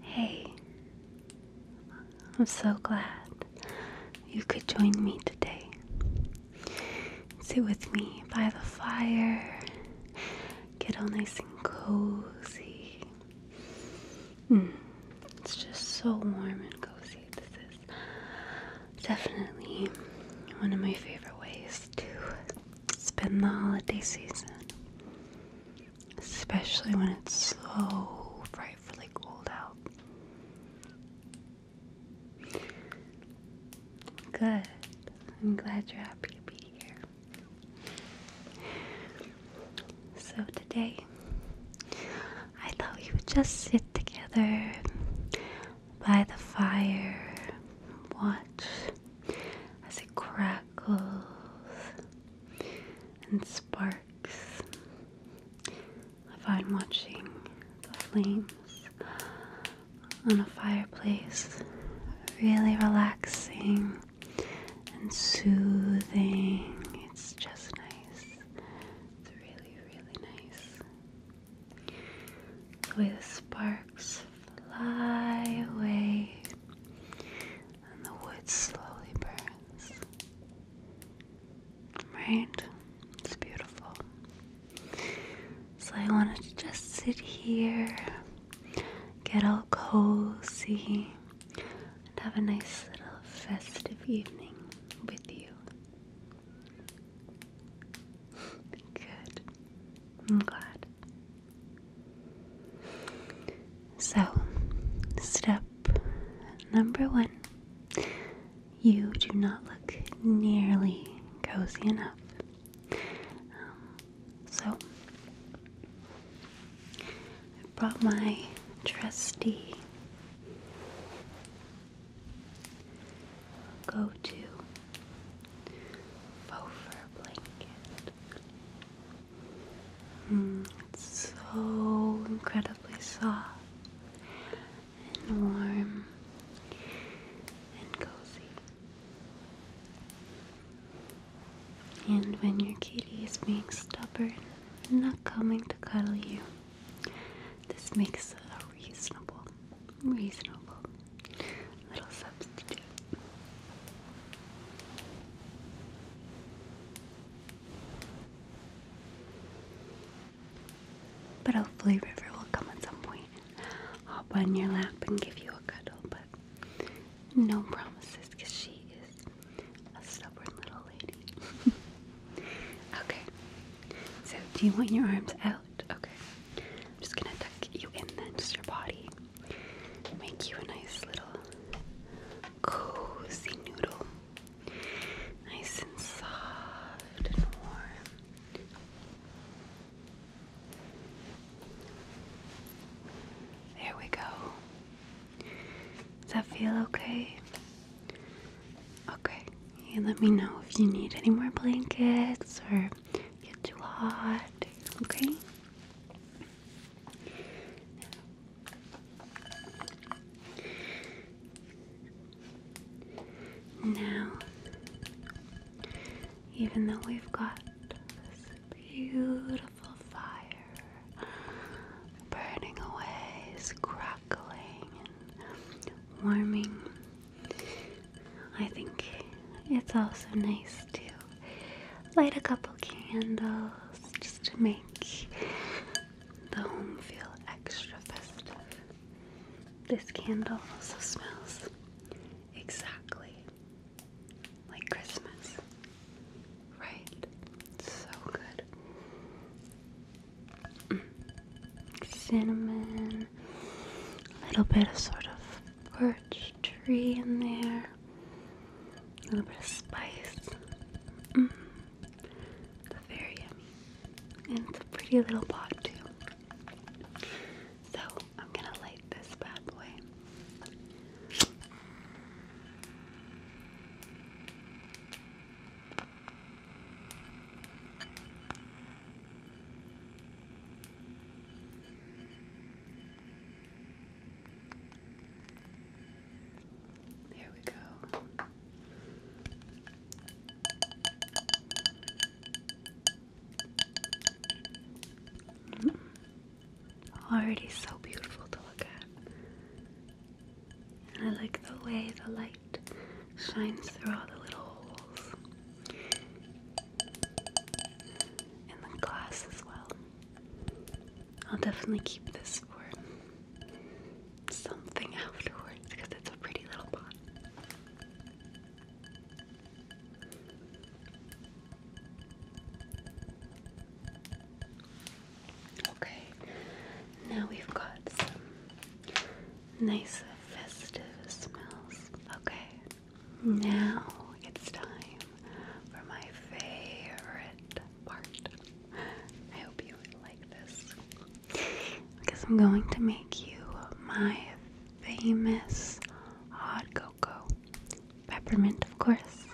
Hey, I'm so glad you could join me today. Sit with me by the fire, get all nice and cozy. Hmm, it's just so warm and cozy. This is definitely one of my favorite ways to spend the holiday season especially when it's so frightfully cold out. Good. I'm glad you're happy to be here. So, today I thought we would just sit together by the fire, watch as it crackles and sparks. I find watching the flames on a fireplace really relaxing and soothing. It's just nice. It's really, really nice. The way the sparks fly away and the wood slowly burns. Right? It's beautiful. So I wanted to just sit here, get all cozy, and have a nice little festive evening with you. Good. I'm glad. So, step number one you do not look nearly cozy enough. Um, so, I brought my trusty go to faux fur blanket it's so incredibly soft and warm and cozy. And when your kitty is being stubborn and not coming to cuddle you, this makes a reasonable, reasonable little substitute. But hopefully River will come at some point and hop on your lap and give you a cuddle, but no promises because she is a stubborn little lady. okay. So do you want your arms out? Okay. I'm just gonna tuck you in then, just your body make you a nice little cozy noodle. Nice and soft and warm. There we go. Does that feel okay? Okay. And let me know if you need any more blankets or get too hot. Okay? Now, even though we've got this beautiful fire burning away, crackling warming, I think it's also nice to light a couple candles just to make the home feel extra festive. This candle also smells exactly like Christmas, right? So good. Mm. Cinnamon, a little bit of sort of birch tree in there. A little bit of spice. Mm. very yummy. And it's a pretty little pot too. So I'm gonna light this bad boy. There we go. Mm. Already so beautiful to look at. And I like the way the light shines through all the little holes in the glass as well. I'll definitely keep this for something afterwards because it's a pretty little pot. Okay, now we've got some nice festive smells. Okay, now it's time for my favorite part. I hope you like this because I'm going to make you my famous hot cocoa. Peppermint, of course.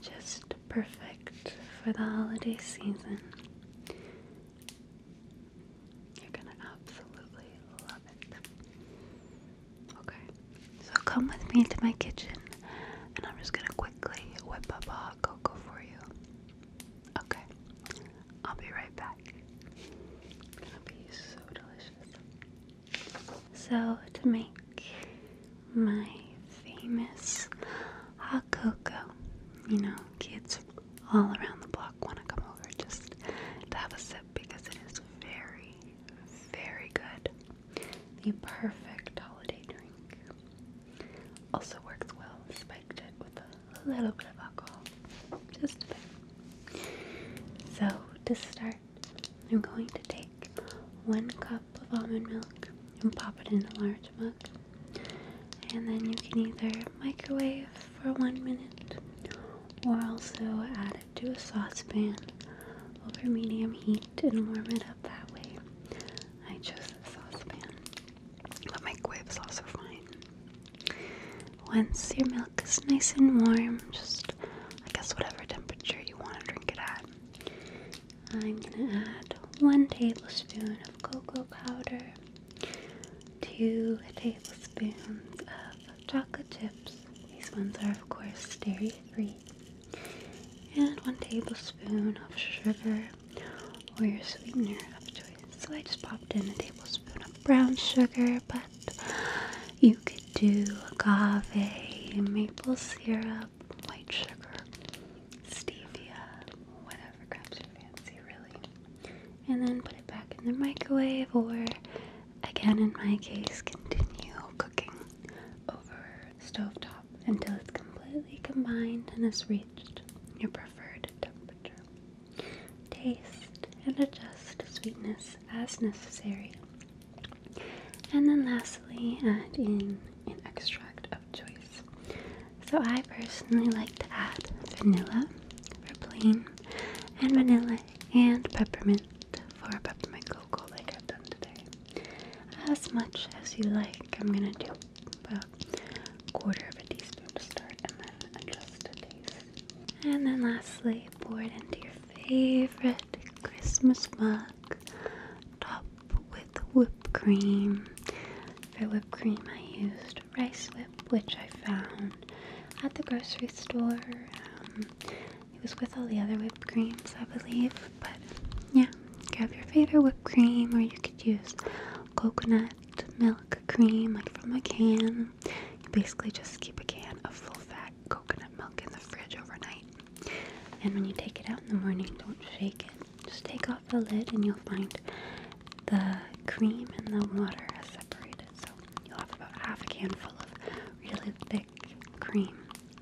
Just perfect for the holiday season. You're gonna absolutely love it. Okay, so come with me to my kitchen and I'm just gonna quickly whip up a hot cocoa for you. Okay, I'll be right back. It's gonna be so delicious. So, to make my famous hot cocoa, you know, kids all around the block want to come over just to have a sip because it is very, very good. The perfect holiday drink. Also works well. Spiked it with a little bit of alcohol. Just a bit. So, to start, I'm going to take one cup of almond milk and pop it in a large mug. And then you can either microwave for one minute or also add to a saucepan over medium heat and warm it up that way. I chose the saucepan, but microwave's also fine. Once your milk is nice and warm, just I guess whatever temperature you want to drink it at, I'm gonna add one tablespoon of cocoa powder, two tablespoons of chocolate chips. These ones are of course dairy free. And one tablespoon of sugar or your sweetener of choice. So I just popped in a tablespoon of brown sugar, but you could do agave, maple syrup, white sugar, stevia, whatever grabs your fancy really. And then put it back in the microwave or Again, in my case, continue cooking over stovetop until it's completely combined and has reached your preferred temperature. Taste and adjust sweetness as necessary. And then lastly, add in an extract of choice. So I personally like to add vanilla for plain, and vanilla and peppermint far above my Google like I've done today. As much as you like. I'm gonna do about a quarter of a teaspoon to start and then adjust to taste. And then lastly, pour it into your favorite Christmas mug. Top with whipped cream. For whipped cream I used rice whip, which I found at the grocery store. Um, it was with all the other whipped creams, I believe. But yeah, grab your favorite whipped cream, or you could use coconut milk cream, like from a can. You basically just keep a can of full fat coconut milk in the fridge overnight. And when you take it out in the morning, don't shake it. Just take off the lid, and you'll find the cream and the water has separated. So you'll have about half a can full of really thick cream.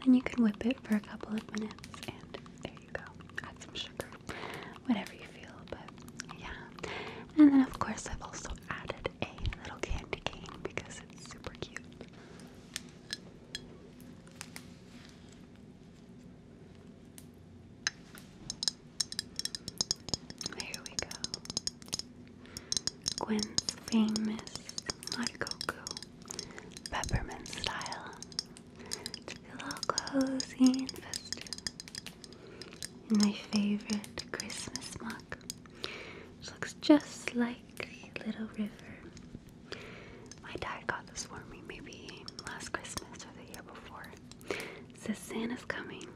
And you can whip it for a couple of minutes, and there you go. Add some sugar, whatever you feel, but yeah. And then, of course, I've also added a little candy cane because it's super cute. There we go. Gwen's famous Marcoco peppermint style to feel all cozy and festive. In my favorite Christmas mug, which looks just like little river. My dad got this for me maybe last Christmas or the year before. It says Santa's coming.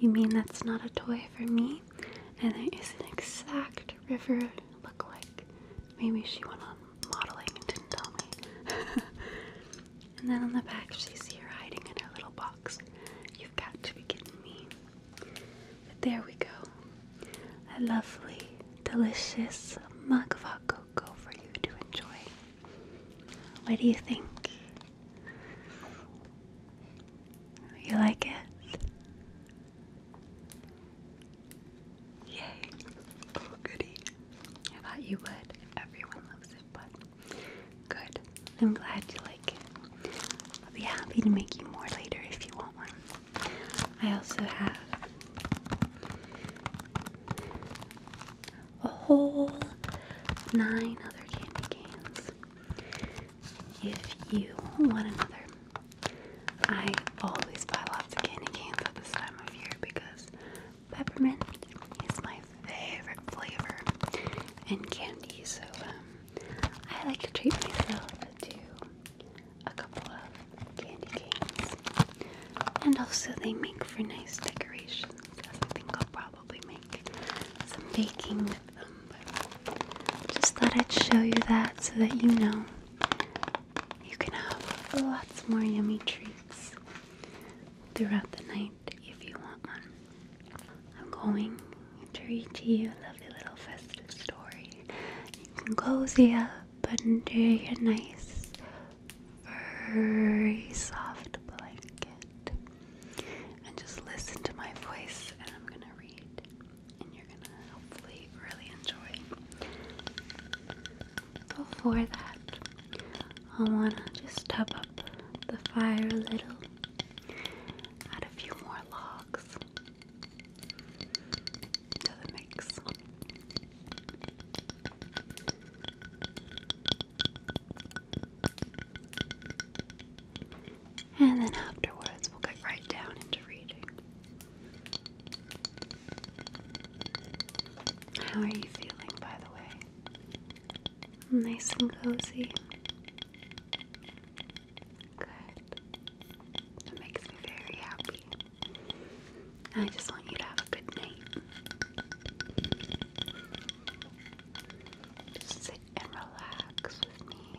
You mean that's not a toy for me? and there is an exact river look like. Maybe she went on modeling and didn't tell me. and then on the back, she's here hiding in her little box. You've got to be kidding me. But there we go. A lovely, delicious mug of hot cocoa for you to enjoy. What do you think? You like it? Yay! Oh, goody. I thought you would. Everyone loves it, but good. I'm glad you like it. I'll be happy to make you more later if you want one. I also have a whole nine other candy canes if you want another. I always buy lots of candy canes at this time of year because peppermint is my favorite flavor and candy, so um, I like to treat myself to a couple of candy canes. And also, they make for nice decorations. I think I'll probably make some baking tip just thought I'd show you that so that you know you can have lots more yummy treats throughout the night if you want one. I'm going to read to you a lovely little festive story. You can cozy up under your nice furry soft blanket and just listen to my voice, and I'm gonna read, and you're gonna hopefully really enjoy. Before that, I wanna just tub up the fire a little, add a few more logs to the mix. And then afterwards, we'll get right down into reading. How are you feeling, by the way? Nice and cozy. Good. That makes me very happy. I just want you to have a good night. sit and relax with me.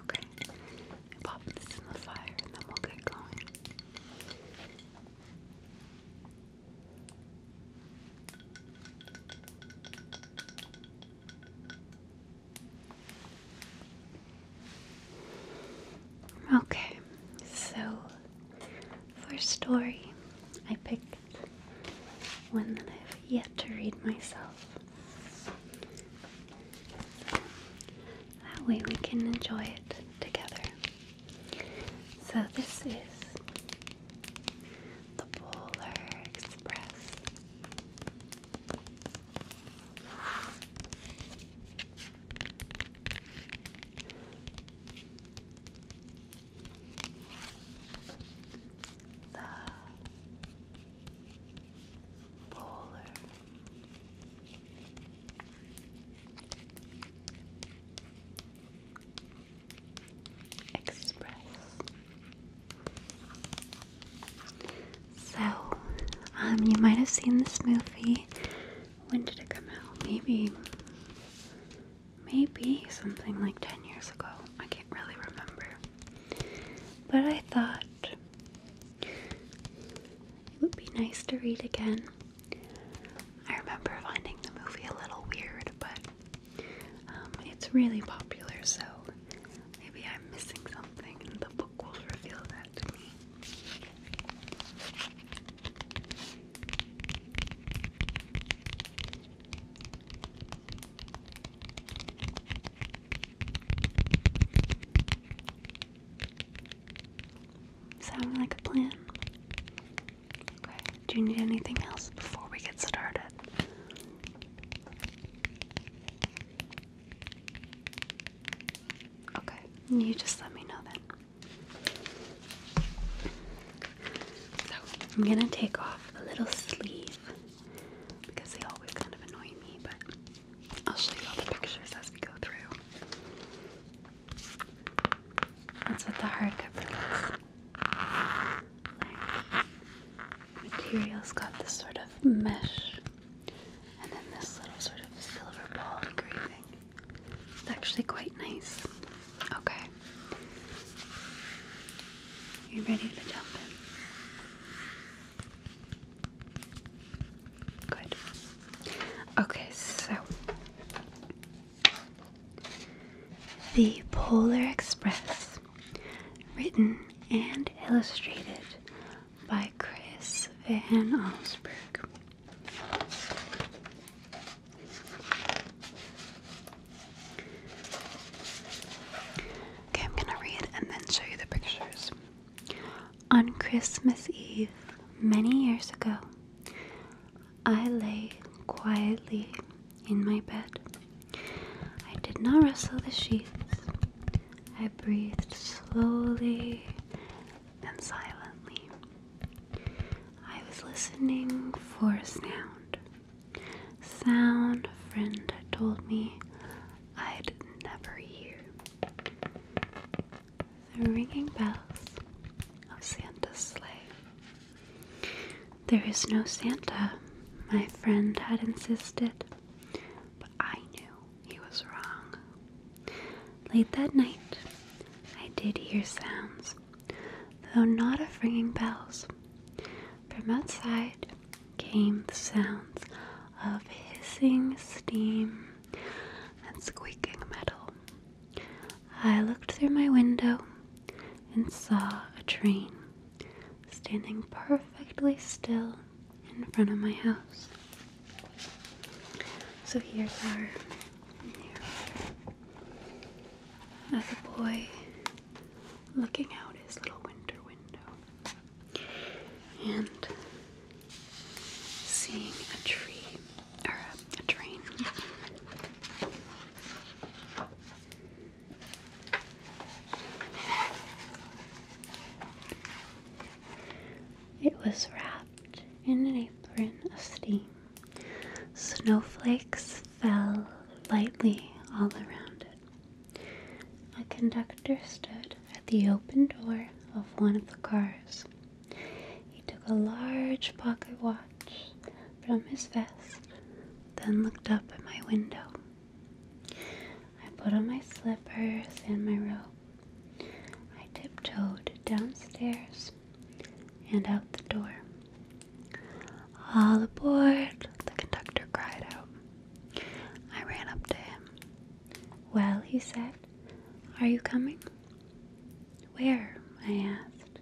Okay, pop this in the fire and then we'll get going. Okay, so for story, I picked one that I've yet to read myself. That way we can enjoy it together. So, this is The Polar Express. The polar express. So, um, you might have seen this movie. When did it come out? Maybe, maybe something like 10 years ago. I can't really remember. But I thought it would be nice to read again. I remember finding the movie a little weird, but um, it's really popular, so maybe I'm missing something, and the book will reveal that to me. Sound like a plan? Okay. Do you need anything else before we get started? Okay. You just let me know then. So I'm gonna take off the little sleeve because they always kind of annoy me, but I'll show you all the pictures as we go through. That's what the hardcover looks like. Material's got this sort of mesh, and then this little sort of silver ball engraving. It's actually quite nice. Okay. You ready to jump in? Good. Okay, so the Polar Express, written and illustrated by Chris Van Allsburg. Okay, I'm gonna read and then show you the pictures. On Christmas Eve, many years ago, I lay quietly in my bed. I did not rustle the sheets. I breathed slowly and silently. I was listening for sound. Sound a friend had told me I'd never hear. The ringing bells of Santa's sleigh. There is no Santa, my friend had insisted, but I knew he was wrong. Late that night, I did hear sounds, though not of ringing bells. From outside came the sounds of hissing steam and squeaking metal. I looked through my window and saw a train standing perfectly still in front of my house. So here's our mirror a boy looking out his little winter window and seeing a tree or a, a train. It was wrapped in an apron of steam. Snowflakes fell lightly all around it. A conductor stood at the open door of one of the cars. He took a large pocket watch from his vest, then looked up at my window. I put on my slippers and my robe. I tiptoed downstairs and out the door. All aboard! The conductor cried out. I ran up to him. Well, he said, are you coming? Where? I asked.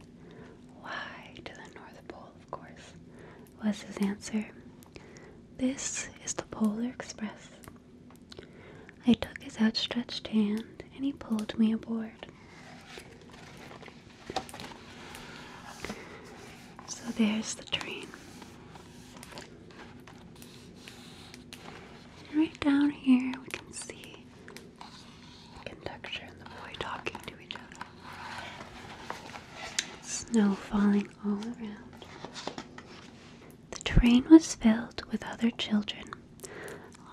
Why, to the North Pole, of course, was his answer. This is the Polar Express. I took his outstretched hand and he pulled me aboard. So there's the train. right down here, we can see the conductor and the boy talking to each other. Snow falling all around. The train was filled with other children,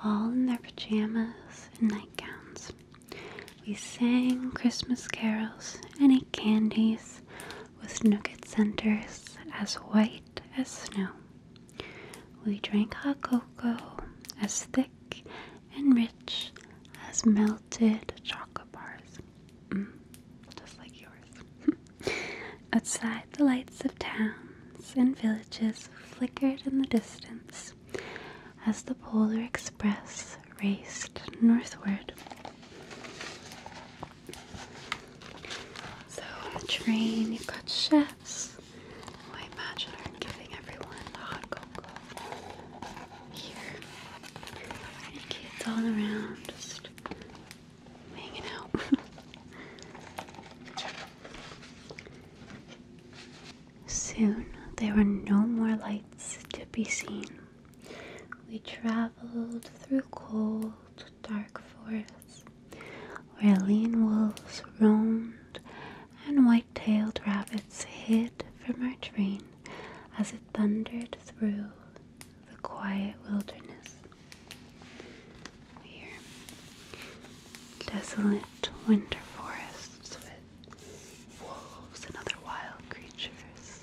all in their pajamas and nightgowns. We sang Christmas carols and ate candies with nougat centers as white as snow. We drank hot cocoa as thick and rich as melted chocolate bars, mm, just like yours. Outside, the lights of towns and villages flickered in the distance as the Polar Express raced northward. So, the train, got chefs I imagine giving everyone the hot cocoa here. And kids all around Soon there were no more lights to be seen. We traveled through cold, dark forests where lean wolves roamed and white tailed rabbits hid from our train as it thundered through the quiet wilderness desolate winter forests with wolves and other wild creatures.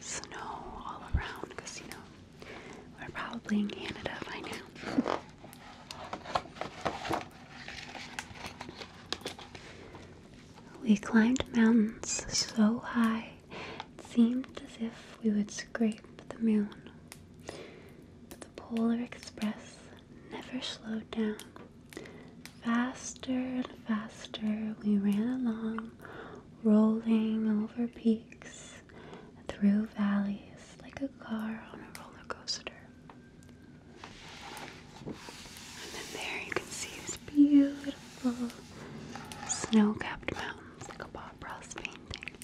Snow all around because you know we're probably in Canada by now. We climbed mountains so high it seemed as if we would scrape the moon. But the Polar Express never slowed down. Faster and faster we ran along, rolling over peaks, through valleys like a car on a roller coaster. And then there you can see these beautiful snow capped mountains like a Bob Ross painting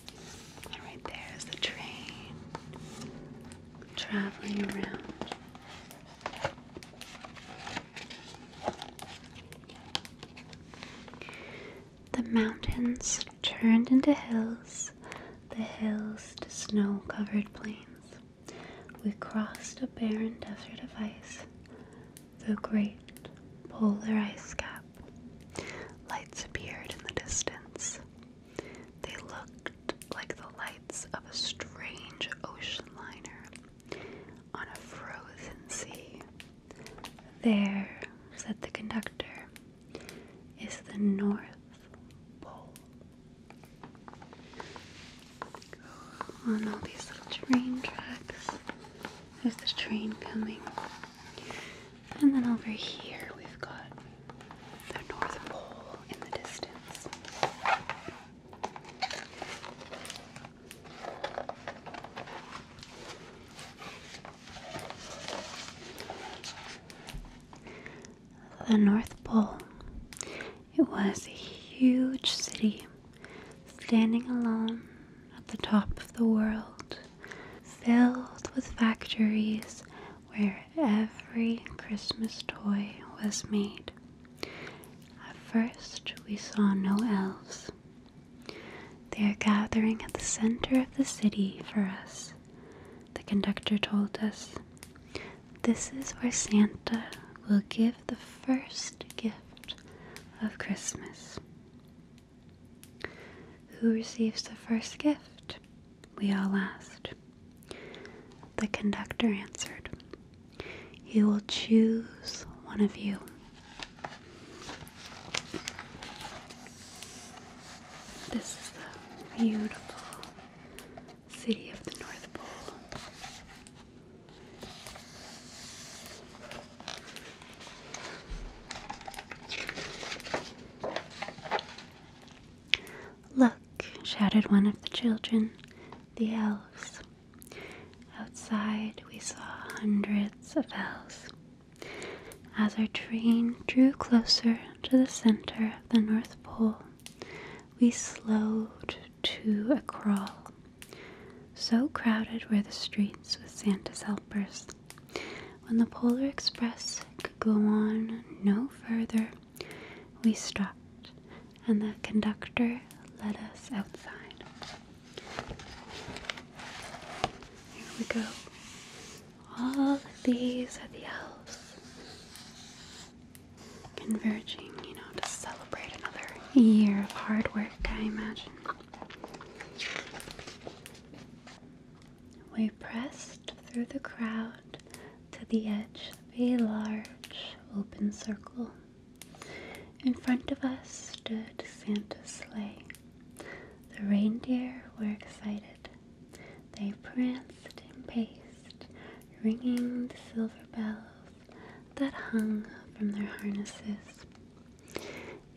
right there is the train traveling around. The mountains turned into hills, the hills to snow covered plains. We crossed a barren desert of ice, the great polar ice cap. Lights appeared in the distance. They looked like the lights of a strange ocean liner on a frozen sea. There, said the conductor, is the North Pole. on all these train tracks. There's the train coming. And then over here we've got the North Pole in the distance. The North Pole. It was a huge city standing alone at the top of the world filled with factories where every Christmas toy was made. At first, we saw no elves. They are gathering at the center of the city for us, the conductor told us. This is where Santa will give the first gift of Christmas. Who receives the first gift? We all asked. The conductor answered, He will choose one of you. This is the beautiful city of the North Pole. Look, shouted one of the children, the elves. Outside we saw hundreds of elves. As our train drew closer to the center of the North Pole, we slowed to a crawl. So crowded were the streets with Santa's helpers. When the Polar Express could go on no further, we stopped, and the conductor led us outside. Here we go. All these are the elves converging, you know, to celebrate another year of hard work, I imagine. We pressed through the crowd to the edge of a large open circle. In front of us stood Santa's sleigh. The reindeer were excited. They pranced and paced, ringing the silver bells that hung from their harnesses.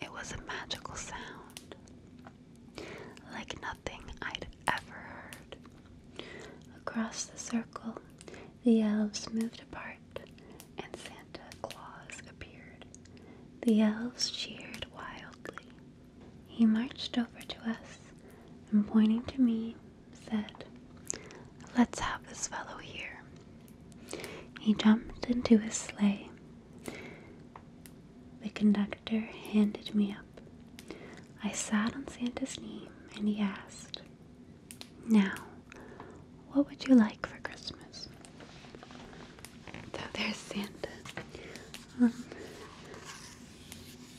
It was a magical sound, like nothing I'd ever heard. Across the circle, the elves moved apart, and Santa Claus appeared. The elves cheered wildly. He marched over to us and, pointing to me, said, Let's have this fellow here. He jumped into his sleigh. The conductor handed me up. I sat on Santa's knee and he asked, Now, what would you like for Christmas? So there's Santa. Um,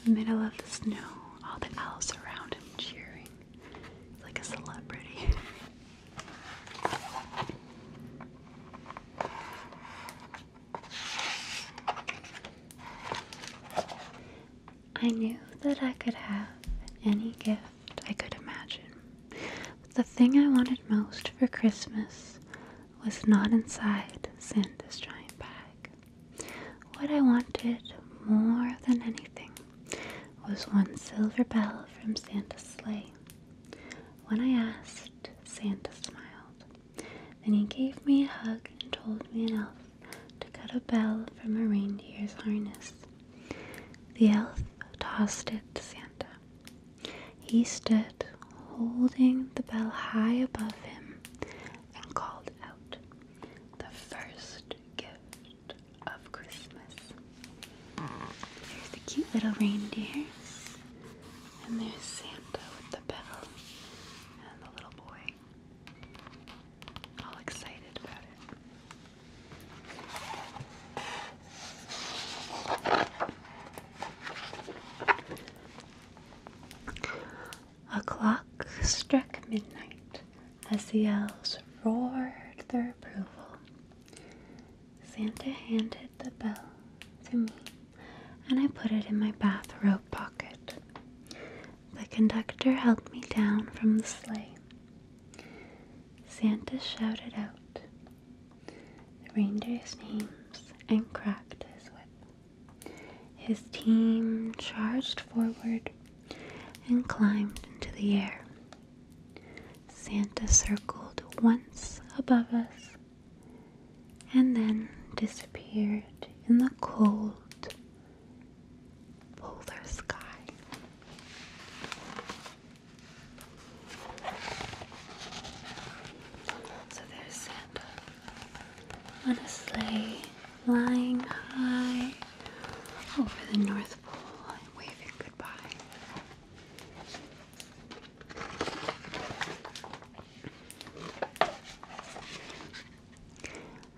middle of the snow, all the elves around him cheering. like a celebrity. I knew that I could have any gift I could imagine, but the thing I wanted most for Christmas was not inside Santa's giant bag. What I wanted more than anything was one silver bell from Santa's sleigh when I asked, Santa smiled. Then he gave me a hug and told me an elf to cut a bell from a reindeer's harness. The elf tossed it to Santa. He stood holding the bell high above him and called out, The first gift of Christmas. There's the cute little reindeer. And there's Santa with the bell and the little boy. All excited about it. A clock struck midnight as the elves roared their approval. Santa handed the bell to me, and I put it in my bathrobe pocket. The conductor helped me down from the sleigh. Santa shouted out the reindeer's names and cracked his whip. His team charged forward and climbed into the air. Santa circled once above us and then disappeared in the cold polar sky. So there's Santa on a sleigh flying high over the North Pole waving goodbye.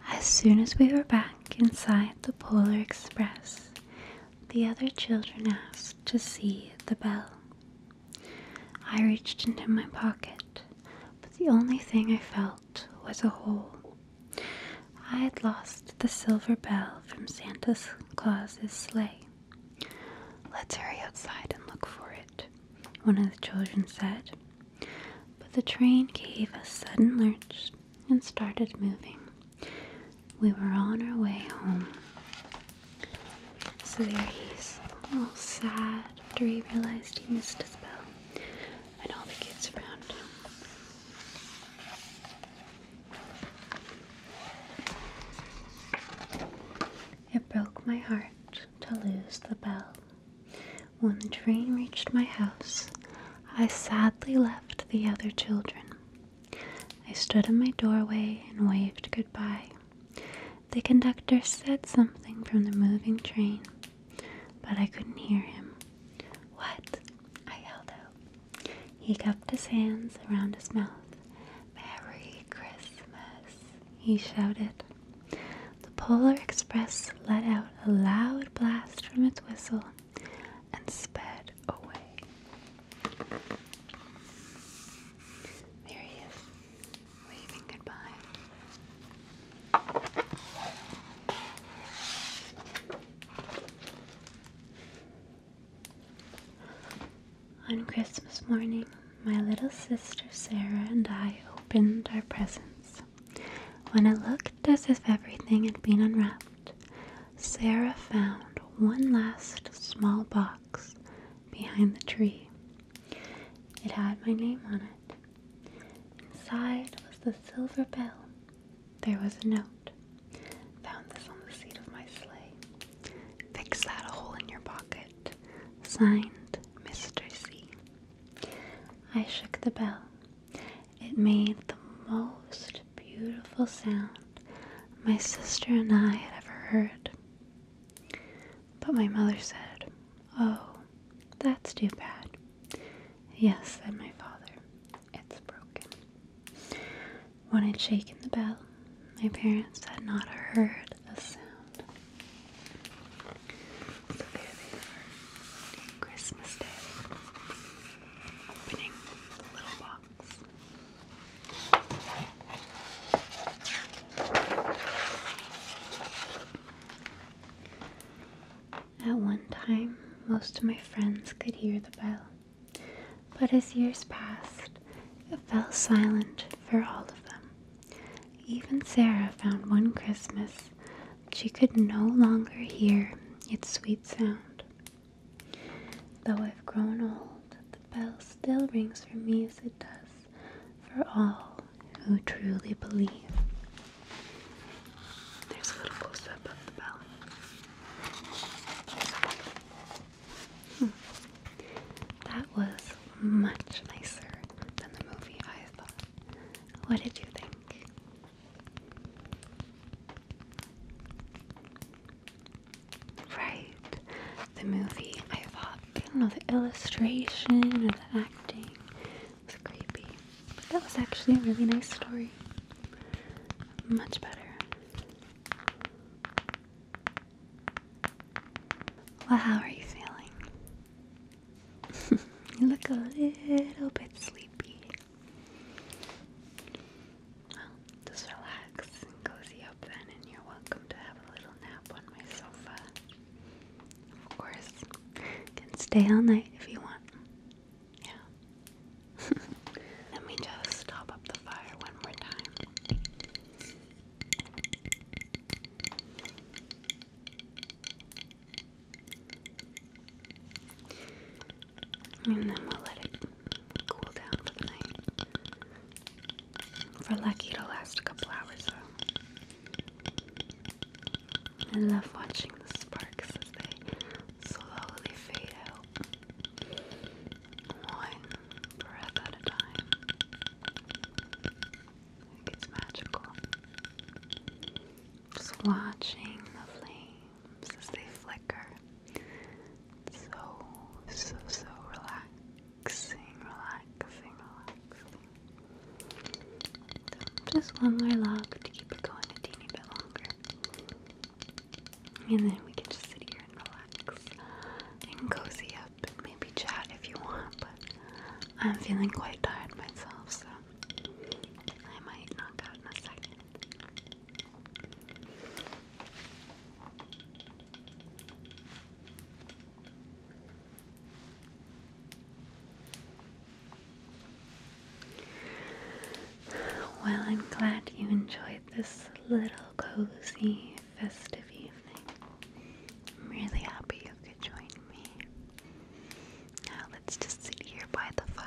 As soon as we were back inside the Polar Express, the other children asked to see the bell. I reached into my pocket, but the only thing I felt was a hole. I had lost the silver bell from Santa Claus's sleigh. Let's hurry outside and look for it, one of the children said. But the train gave a sudden lurch and started moving. We were on our way home. So there he is, all sad after he realized he missed his bell and all the kids around him. It broke my heart to lose the bell. When the train reached my house, I sadly left the other children. I stood in my doorway and waved goodbye. The conductor said something from the moving train, but I couldn't hear him. What I held out. He cupped his hands around his mouth. Merry Christmas, he shouted. The Polar Express let out a loud blast from its whistle and sped away. There he is, waving goodbye. On Christmas morning, my little sister Sarah and I opened our presents. When it looked as if everything had been unwrapped, Sarah found one last small box behind the tree. It had my name on it. Inside was the silver bell there was a note. Found this on the seat of my sleigh. Fix that hole in your pocket. Signed, Mr. C. I shook the bell. It made the most beautiful sound my sister and I had ever heard. But my mother said, Oh, that's too bad. Yes, said my father it's broken. When i shaken the bell, my parents had not heard a sound. So there they were, Christmas Day, opening the little box. At one time, most of my friends could hear the bell, but as years passed, it fell silent for all of them. Even Sarah found one Christmas she could no longer hear its sweet sound. Though I've grown old, the bell still rings for me as it does for all who truly believe. There's a little close up of the bell. Hmm. That was much nicer than the movie, I thought. What did you think? Right. The movie, I thought, I don't know, the illustration or the acting was creepy. But that was actually a really nice story. Much better. Well, how are you feeling? you look a little bit sleepy. Well, just relax and cozy up then, and you're welcome to have a little nap on my sofa. Of course, you can stay all night if you want. Yeah. Let me just stop up the fire one more time. And then we'll let it cool down for the night. For lucky to last a couple hours though. I love watching the sparks as they slowly fade out, one breath at a time. it's magical. Just watching the flames as they flicker. so, so, so relaxing, relaxing, relaxing. just one more love to keep it going a teeny bit longer. And then we can just sit here and relax and cozy up and maybe chat if you want, but I'm feeling quite tired myself, so I might knock out in a second. Well, I'm glad you enjoyed this little cozy festive evening. I'm really happy you could join me. Now let's just sit here by the fire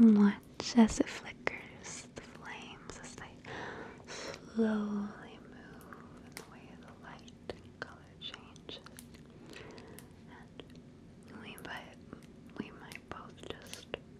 watch as it flickers, the flames as they slowly move in the way the light and color changes. And we might, we might both just